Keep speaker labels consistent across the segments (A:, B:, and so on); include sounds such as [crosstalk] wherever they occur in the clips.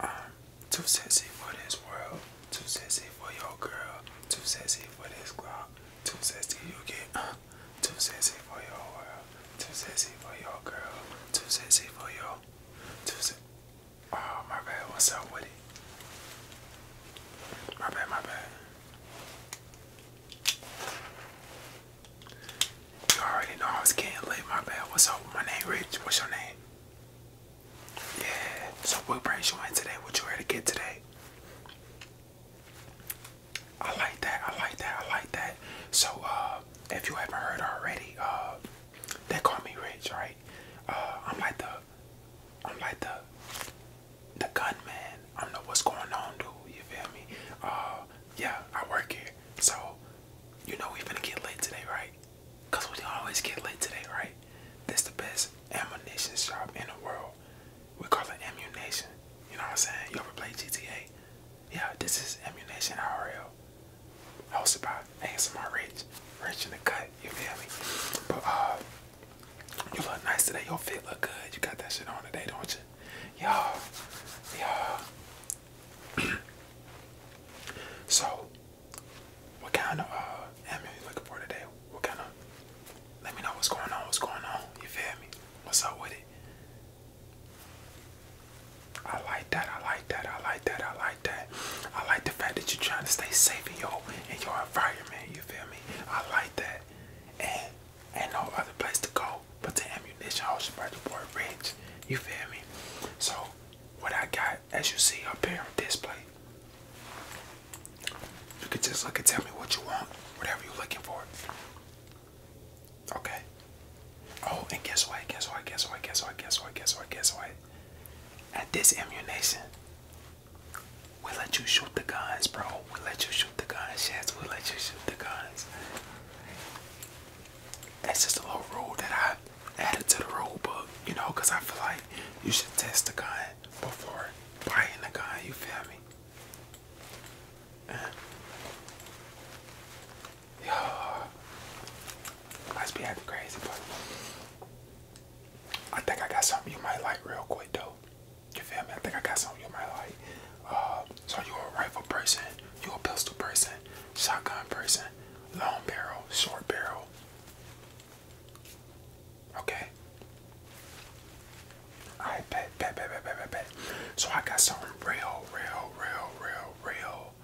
A: I'm too sexy for this world, too sexy for your girl, too sexy for this club, too sexy you get, uh, too sexy for your world, too sexy for your girl, too sexy for your, too sexy. Oh my bad, what's up with it? My bad, my bad. You already know I was getting late, my bad. What's up? My name Rich. What's your name? Yeah. So what brings you in today? What you ready to get today? I like that. I like that. I like that. So uh, if you haven't heard already, uh, they call me Rich, right? Uh, I'm like the, I'm like the, the gunman. I know what's going on, dude. You feel me? Uh, yeah, I work here. So, you know we are gonna get late today, right? Cause we always get late today, right? This the best ammunition shop in the world. We call it ammunition. You know what I'm saying? You ever play GTA? Yeah, this is ammunition RL. Hosted by ASMR Rich. Rich in the cut, you feel me? But uh you look nice today, your fit look good. You got that shit on today, don't you? Y'all, y'all. [clears throat] so what kind of uh, ammo you looking for today? What kind of? Let me know what's going on. What's going on? You feel me? What's up with it? I like that. I like that. I like that. I like that. I like the fact that you're trying to stay safe in your in your environment. You feel me? I like that. And ain't no other place to go but to ammunition. I was about to boy rich. You feel me? So what I got, as you see up here on display. You can just look and tell me what you want, whatever you're looking for. Okay. Oh, and guess what? Guess what? Guess what? Guess what? Guess what? Guess what? Guess what? At this ammunition, we let you shoot the guns, bro. We let you shoot the guns, yes. We let you shoot the guns that's just a little rule that I added to the rule book, you know, because I feel like you should test the gun before buying the gun, you feel me? Uh, yeah, must be acting crazy, but I think I got something you might like real quick, though. You feel me? I think I got something you might like. Uh, so you a rifle person, you a pistol person, shotgun person, long barrel, short barrel. Okay. I bet, bet, bet, bet, bet, bet, So I got something real, real, real, real,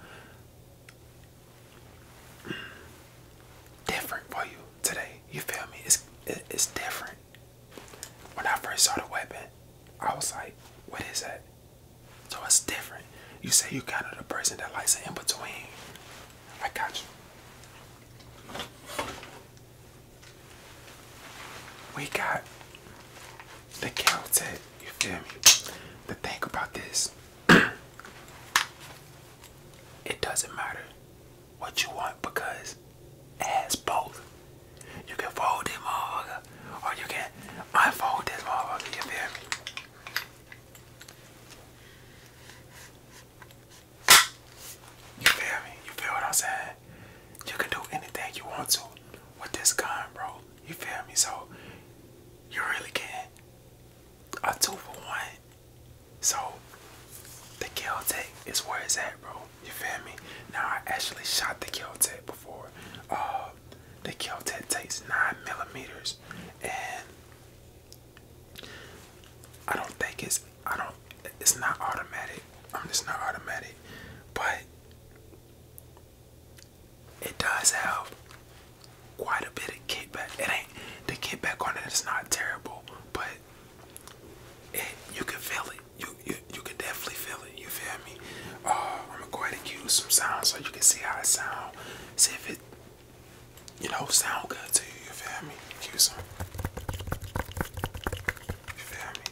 A: real different for you today. You feel me? It's it's different. When I first saw the weapon, I was like, "What is that?" So it's different. You say you kind of the person that likes it in between. I got you. We got the Caltech, you feel me? To think about this, [clears throat] it doesn't matter what you want because it has both. You can fold this motherfucker or you can unfold this motherfucker, you feel me? You feel me? You feel what I'm saying? You can do anything you want to with this gun, bro. You feel me? So you really can a two for one. So the kill tape is where it's at, bro. You feel me? Now I actually shot the kill tape before. Uh the Kel-Tet takes nine millimeters, and I don't think it's I don't it's not automatic. I'm um, just not automatic, but it does have quite a bit of kickback. It ain't the kickback on it is not terrible, but it you can feel it. You you you can definitely feel it. You feel I'm gonna use some sound so you can see how it sounds. See if it, you know, sound good to you. You feel me? Use some. You feel me?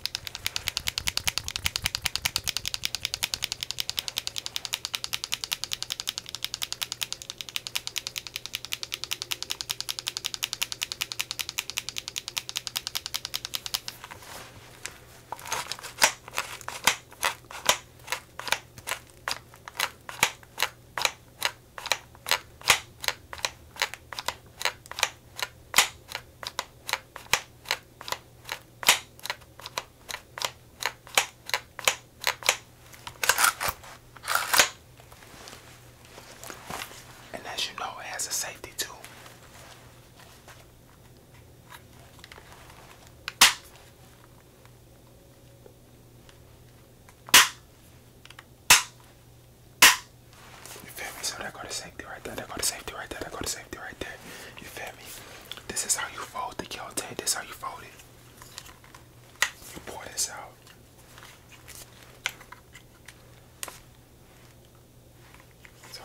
A: And as you know, it has a safety too. You feel me? So that go to safety right there. That go to safety right there. That go to safety right there. You feel me? This is how you fold the kill tape. This how you fold it. You pour this out. So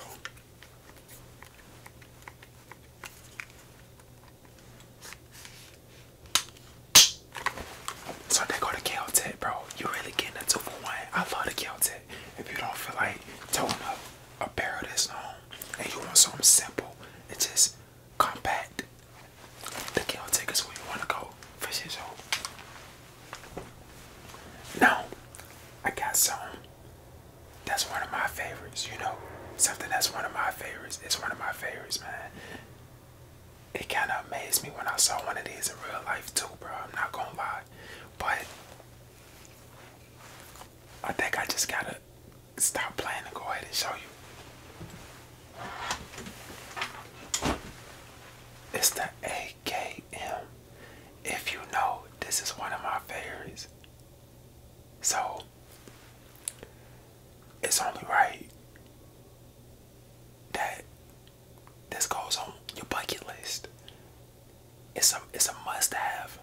A: so they go to Caltech, bro. You really getting a two for one. I love the Caltech. If you don't feel like towing a a of this long and you want something simple, it's just compact. The Caltech is where you want to go for sure. No, I got some that's one of my favorites, you know. Something that's one of my favorites. It's one of my favorites, man. It kind of amazed me when I saw one of these in real life, too, bro. I'm not gonna lie. But I think I just gotta stop playing and go ahead and show you. It's the AKM. If you know, this is one of my favorites. So it's only right that this goes on your bucket list. It's a it's a must have.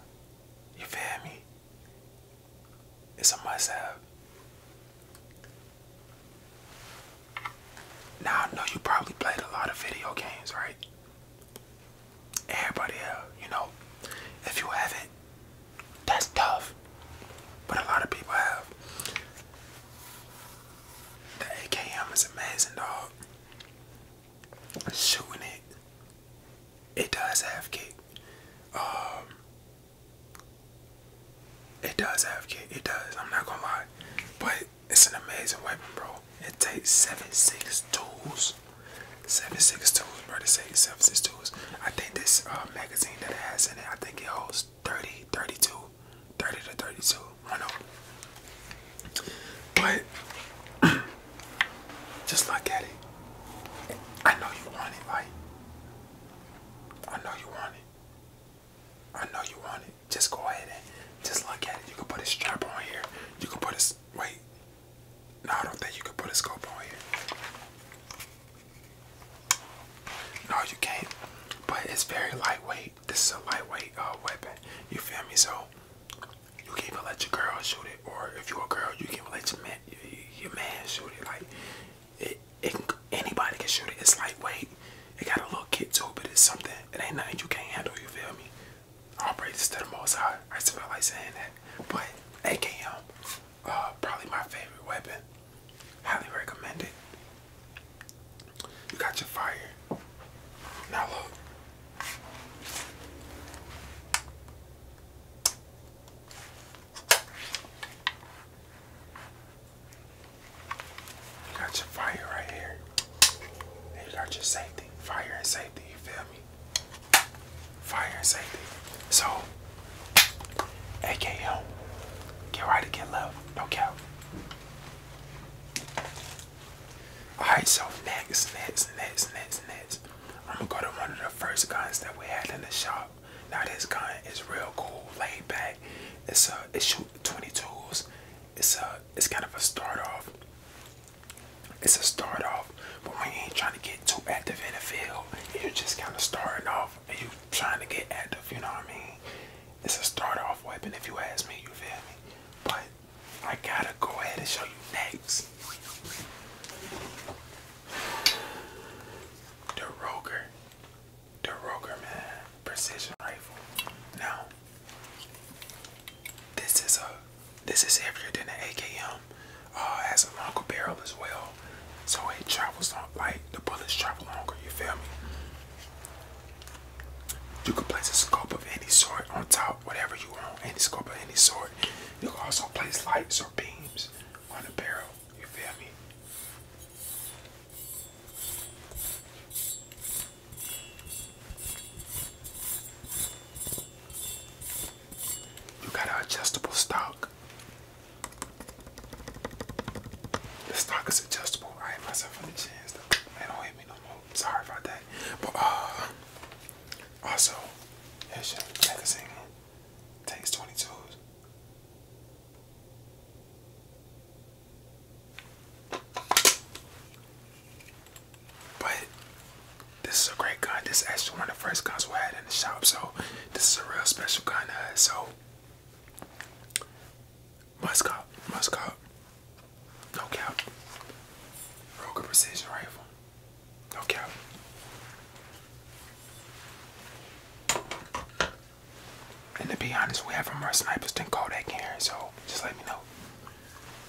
A: You feel me? It's a must have. Now I know you probably played a lot of video games, right? everybody you know. If you haven't, that's tough. But a lot of people have. The AKM is amazing, dog. Shooting it, it does have kick. Um, it does have kick. It does. I'm not gonna lie, but it's an amazing weapon, bro. It takes seven six tools News. 762 Mercedes 762s. I think this uh, magazine that it has in it, I think it holds 30, 32, 30 to 32. I know. But [clears throat] just look at it. I know you want it, like. I know you want it. I know you want it. Just go ahead and just look at it. You can put a strap on here. You can put a wait. No, I don't think you can put a scope on here. No, you can't. But it's very lightweight. This is a lightweight uh, weapon. You feel me? So you can even let your girl shoot it, or if you a girl, you can even let your man, your man shoot it. Like it, it anybody can shoot it. It's lightweight. It got a little kick to but it's something. It ain't nothing you can't handle. You feel me? All praises to the Most High. I smell like saying that, but AKM, uh, probably my favorite weapon. Highly recommended. You got your fire. Now You got your fire right here. And you got your safety. Fire and safety, you feel me? Fire and safety. So, AKM, get right to get left, no cap. Alright, so next, next, next, next, next. I'm gonna go to one of the first guns that we had in the shop. Now this gun is real cool, laid back. It's a, it shoot 22s. It's a, it's kind of a start off it's a start off, but when you ain't trying to get too active in the field, you're just kind of starting off and you trying to get active, you know what I mean? It's a start off weapon if you ask me, you feel me? But I gotta go ahead and show you next. The Roger. The Roger man. Precision rifle. Now this is a this is heavier than the AKM. Uh, has a longer barrel as well, so it travels on like the bullets travel longer. You feel me? You can place a scope of any sort on top, whatever you want, any scope of any sort. You can also place lights or beams on the barrel. You feel me? You got an adjustable stock. The stock is adjustable. I ain't myself any chance. Man, don't hit me no more. Sorry about that. But uh, also, magazine. Takes 22s. But this is a great gun. This actually one of the first guns we had in the shop, so this is a real special gun. so must cop, must cop. No cap. Roger precision rifle. No cap. And to be honest, we have more snipers than Kodak here, so just let me know.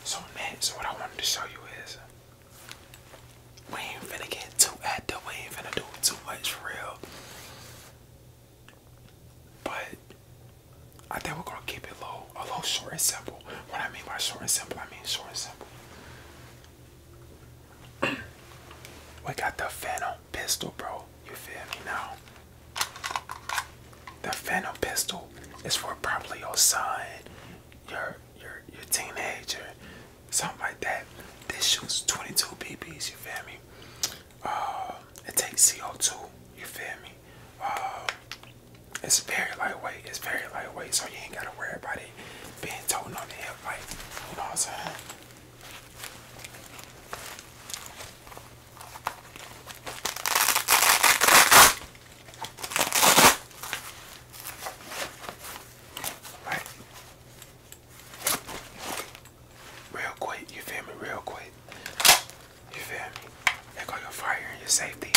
A: So next, what I wanted to show you is we ain't finna get too active. We ain't finna do too much real. But I think we're gonna keep it low, a little short and simple. What I mean by short and simple, I mean short and simple. [clears throat] we got the Phantom pistol, bro. You feel me now? The Phantom pistol is for probably your side your your your teenager, something like that. This shoots 22 BBs. You feel me? Uh, it takes CO2. You feel me? Uh, it's very lightweight. It's very lightweight, so you ain't gotta worry about it being toting on the hip. right? you know what I'm saying? Right. Real quick, you feel me? Real quick. You feel me? There your fire and your safety.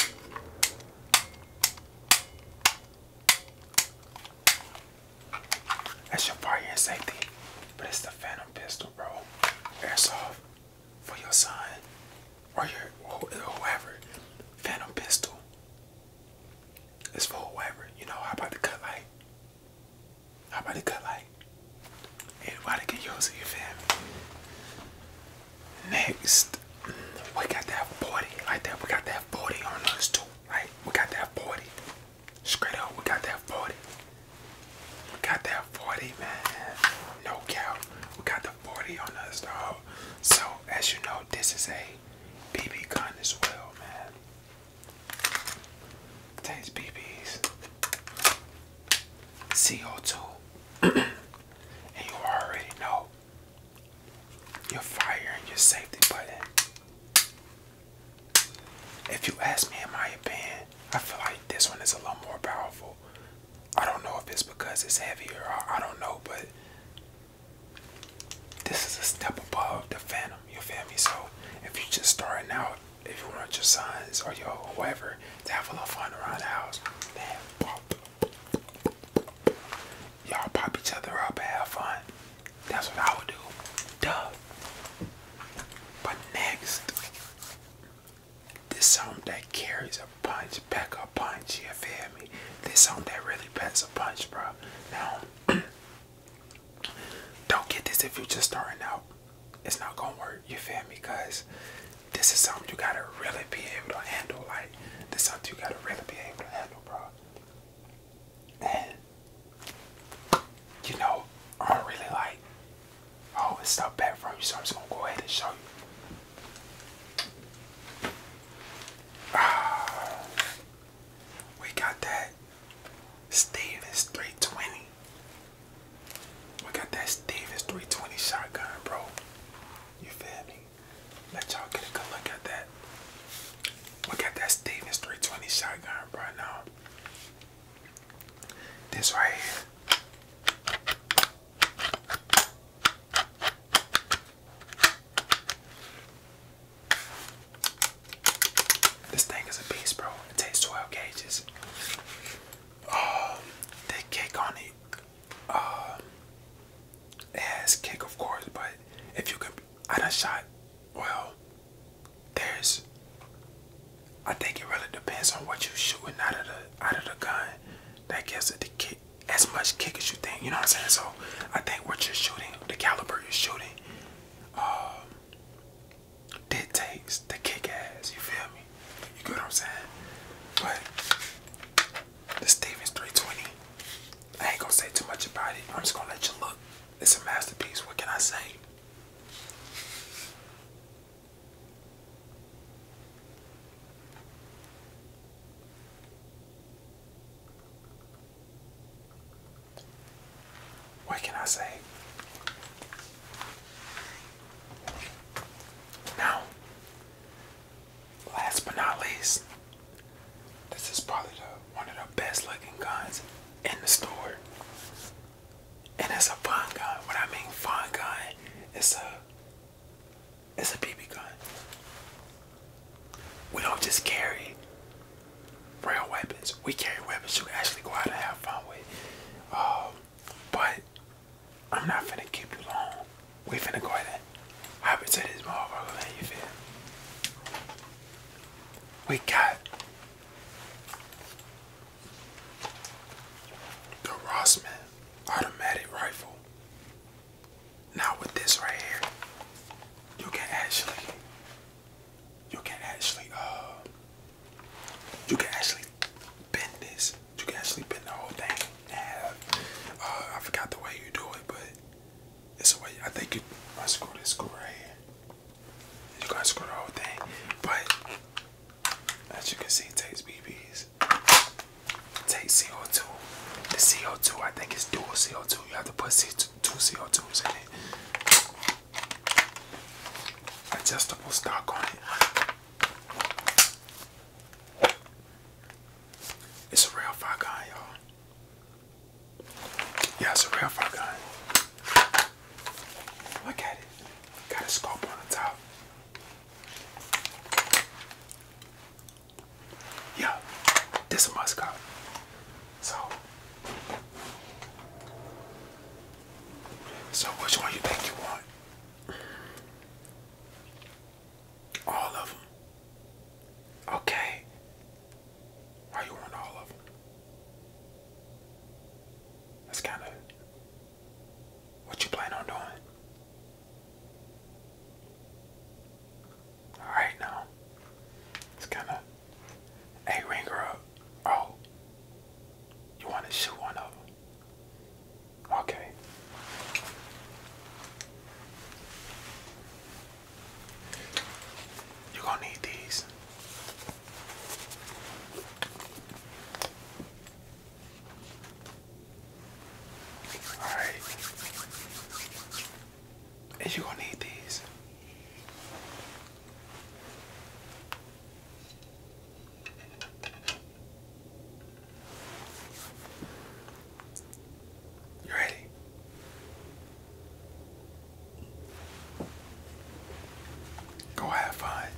A: That's your fire and safety. But it's the Phantom Pistol, bro. Airsoft for your son or your whoever. Phantom pistol. It's for whoever. You know, how about the cut light? How about to cut light? Everybody to get yours you your family? Next, we got that have 40 like that. We got that have 40 on us too. Like, we got that have 40. Straight up, we got that have 40. We got to 40, man. No cow. We got the 40 on us, dog. So as you know, this is a BB gun as well, man. Tastes BBs. CO2. and you already know your fire and your safety button. If you ask me in my opinion, I feel like this one is a lot more powerful. I don't know if it's because it's heavier I don't know, but this is a step above the Phantom, you feel me? So if you're just starting out, if you want your sons or your whoever to have a little fun around the house, Y'all pop each other up and have fun. That's what I would do. Duh. But next, this song that carries a punch, pack a punch, you feel me? This song that really packs a punch, bro. Now, [clears throat] don't get this if you're just starting out. It's not gonna work, you feel me? Because this is something you gotta really be able to handle. Like, this song, you gotta really be able to handle, bro. And, you know, I don't really like, oh, it's stuff back from you, so I'm just gonna go ahead and show you. Uh, [sighs] we got that Stevens 320. We got that Stevens 320 shotgun, bro. You feel me? Let y'all get a good look at that. Look at that Stevens 320 shotgun right now. This right here. This thing is a beast, bro. It takes 12 gauges. Um, the cake on it, um, kick, of course, but if you could, I done shot, well, there's, I think it really depends on what you're shooting out of the, out of the gun. That gives the kick as much kick as you think. You know what I'm saying? So I think what you're shooting, the caliber you're shooting, um, dictates the kick ass. You feel me? You get what I'm saying? But the Stevens 320, I ain't gonna say too much about it. I'm just gonna let you look. It's a masterpiece. What can I say? What can I say? Now, last but not least, this is probably one of the best looking guns in the store. And it's a fun gun. What I mean fun gun, it's a it's a BB gun. We don't just carry real weapons. We carry weapons to actually go out and have fun with. Um, but I'm not finna keep you long. We finna go out and hop into this motherfucker, man, you We got the Rossman automatic rifle. Now with this right here, you can actually, you can actually, uh, you can actually bend this. You can actually bend the whole thing. Yeah, uh, I forgot the way you do it, but it's a way. I think you. I screw this screw right here. You gotta screw the whole thing, but as you can see, it takes BBs take CO2. The CO2 I think is dual CO2. You have to put two CO2s in it. Adjustable stock on it. It's a real fire gun, y'all. Yeah, it's a real fire gun. Look at it. Got a scope on the top. Yeah, this a must cop. So, so which one you think you want? All of them. Okay. Why you want all of them? That's kind of what you plan on doing? Alright now. It's kinda a ringer up. Oh. You wanna shoot one of Okay. you gonna need these. Alright. And you're gonna need these. You ready? Go have fun.